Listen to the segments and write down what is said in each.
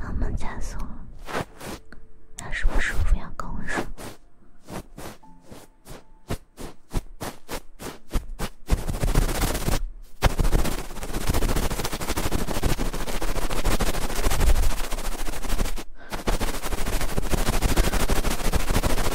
帮忙加速，是不舒服要跟我说。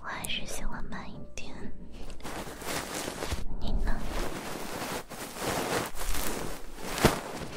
我还是喜欢慢一点，你呢？嗯。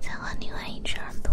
再换另外一只耳朵。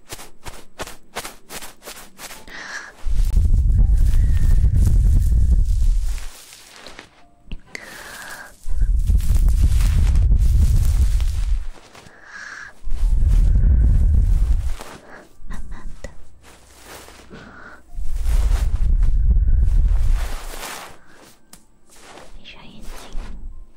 好的，闭上眼睛。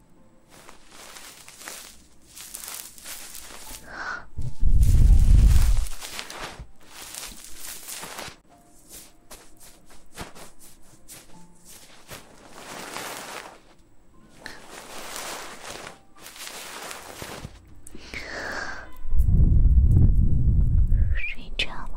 睡着了。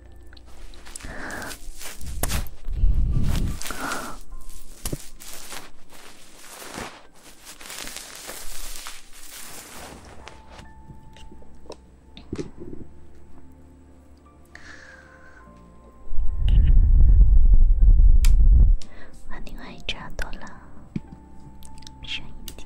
和另外一只多了，声音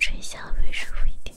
吹下会舒服一点。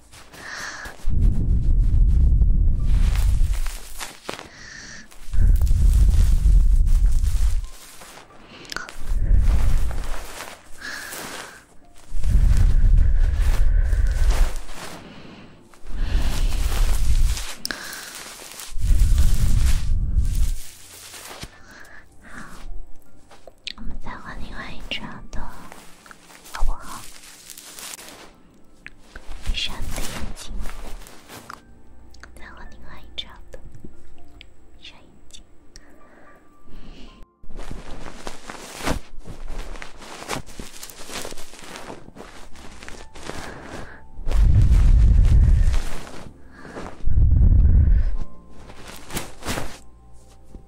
好，我们再换另外一张的，好不好？闭上眼睛，再换另外一个闭上眼睛。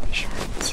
没事儿，姐。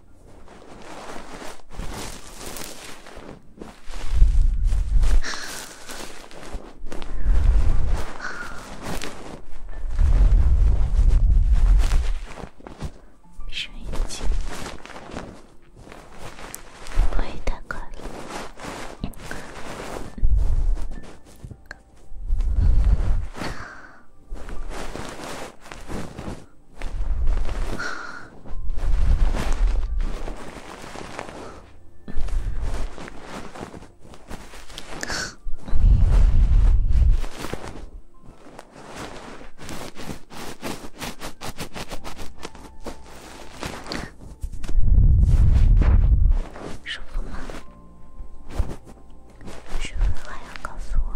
闭上眼睛，不要太快了。舒服吗？是不是还要告诉我？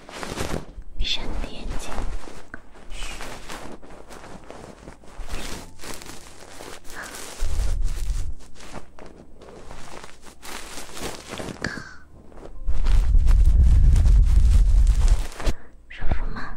闭上你的眼睛，舒服吗？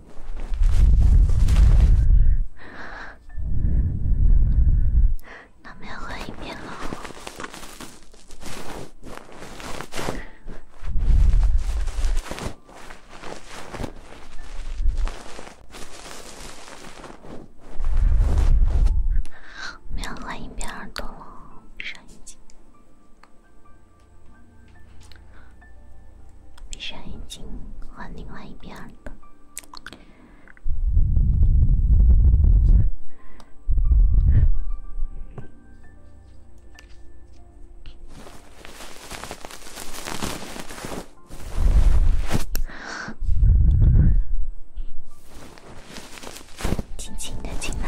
那没有换一边了，没有换一边耳朵了，闭上眼睛。闭上眼睛，换另外一边的。轻轻的进来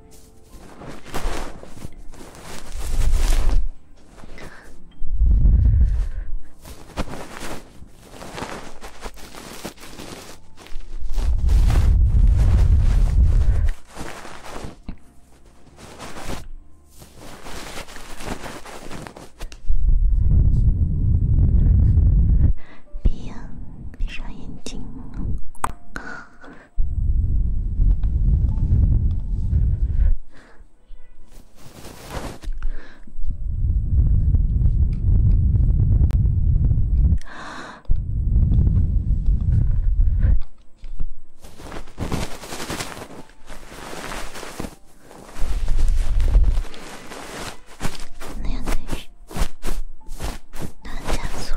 闭上，眼睛。哪样东西？它减速了。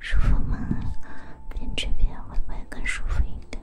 舒服吗？跟这边会不会更舒服一点？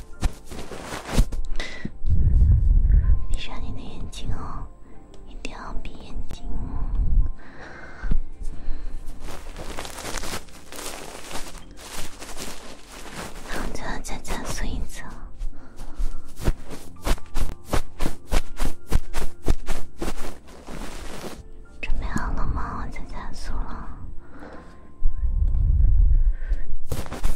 闭上你的眼睛哦，一定要闭眼睛。然后就加速一次，准备好了吗？我加速了。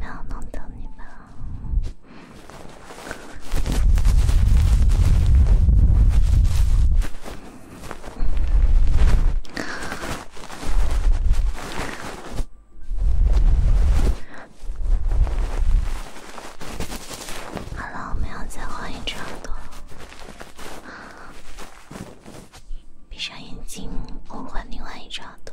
要弄掉你吧。好了，我们要再换一只耳闭上眼睛，我换另外一只耳朵。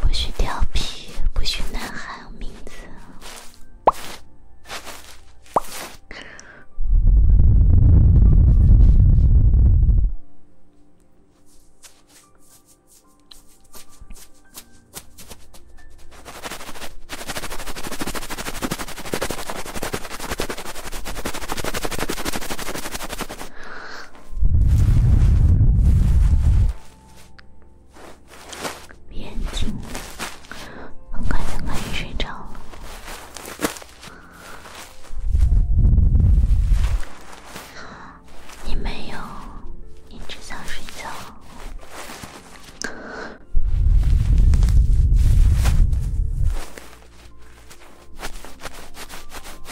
不许调皮，不许乱喊我名字。眼睛，很快就可以睡着了。你没有，你只想睡觉。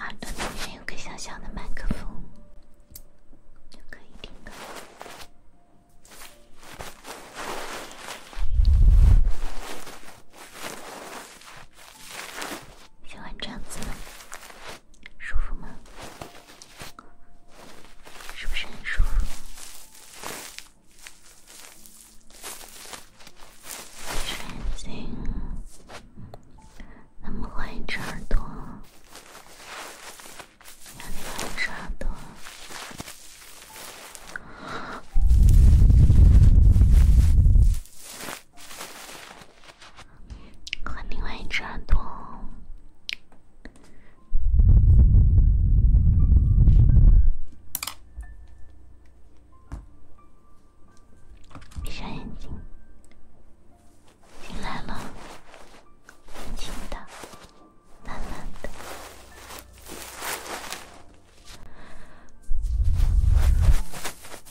耳朵里面有个小小的麦克风，就可以听歌。喜欢这样子，舒服吗？是不是很舒服？很安静，那么欢迎这耳朵，让你欢迎这耳朵。和另外一只耳朵，闭上眼睛，进来了，轻轻的，慢慢的。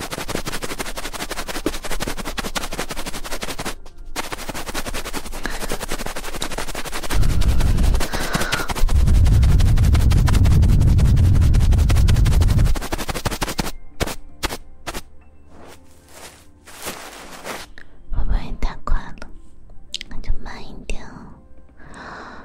会不会太快了？那就慢一点哦。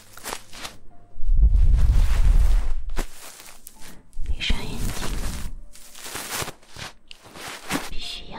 闭上眼睛，必须要。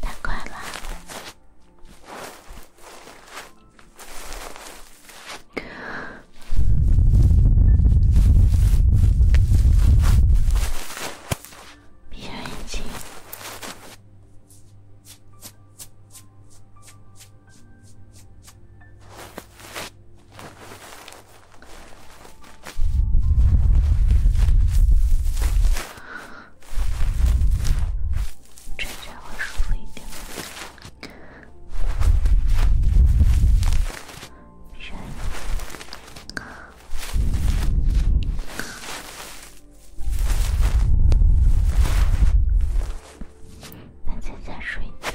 太快了，闭上眼睛。吹吹会舒服一点。睡。那再再睡一次。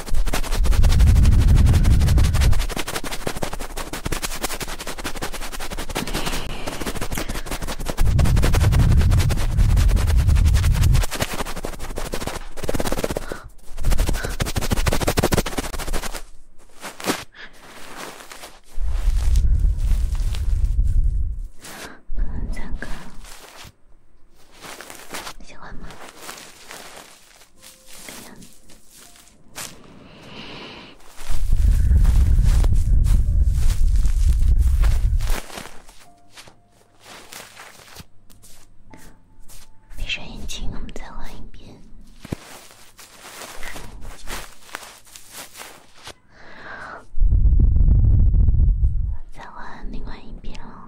第三个，喜欢吗？闭上眼睛，我们再换一遍，再换另外一边哦。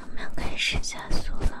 我们要开始加速了。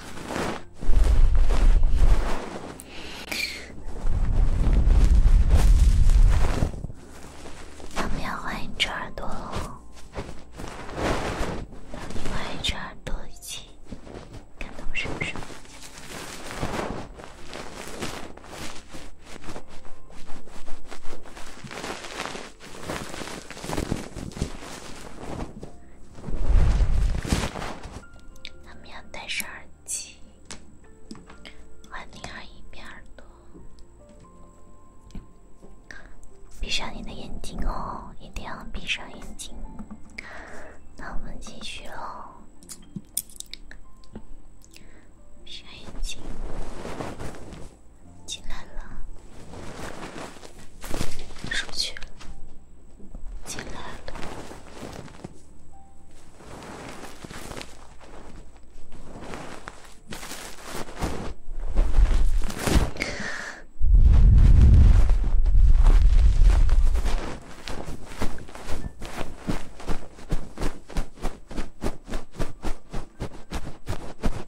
我们要换一只耳朵喽，让另外一只耳朵一起感动是不是？他们要戴上耳机，换另一边耳朵。闭上你的眼睛哦，一定要闭上眼睛。那我们继续喽，闭上眼睛，进来了。出去了，进来了。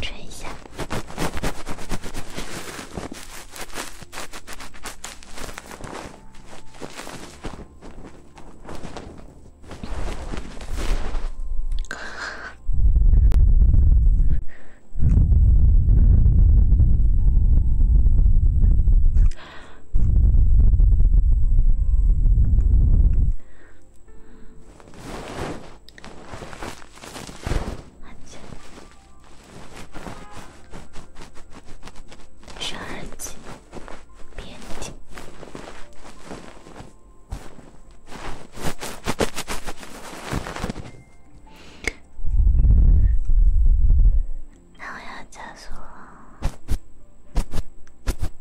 吹一下。第二集，别停。那我要加速了。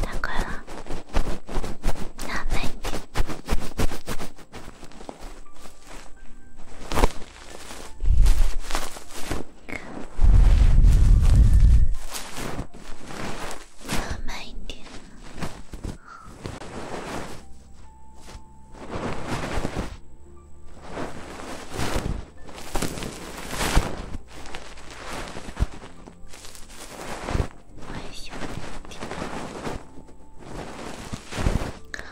だからなんて慢一点。哎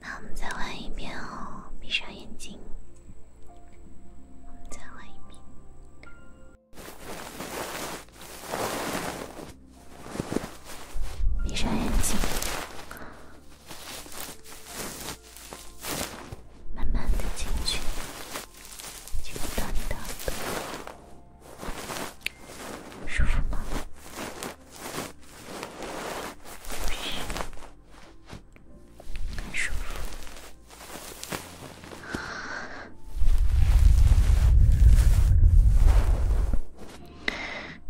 那我们再换一遍哦，闭上眼睛，我们再换一遍，闭上眼睛，慢慢的进去，进入到你的耳朵，舒服吗？舒服，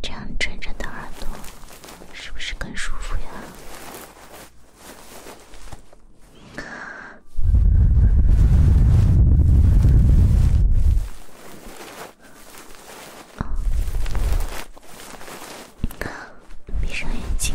这样枕着的耳朵，是不是更舒服呀？闭上眼睛。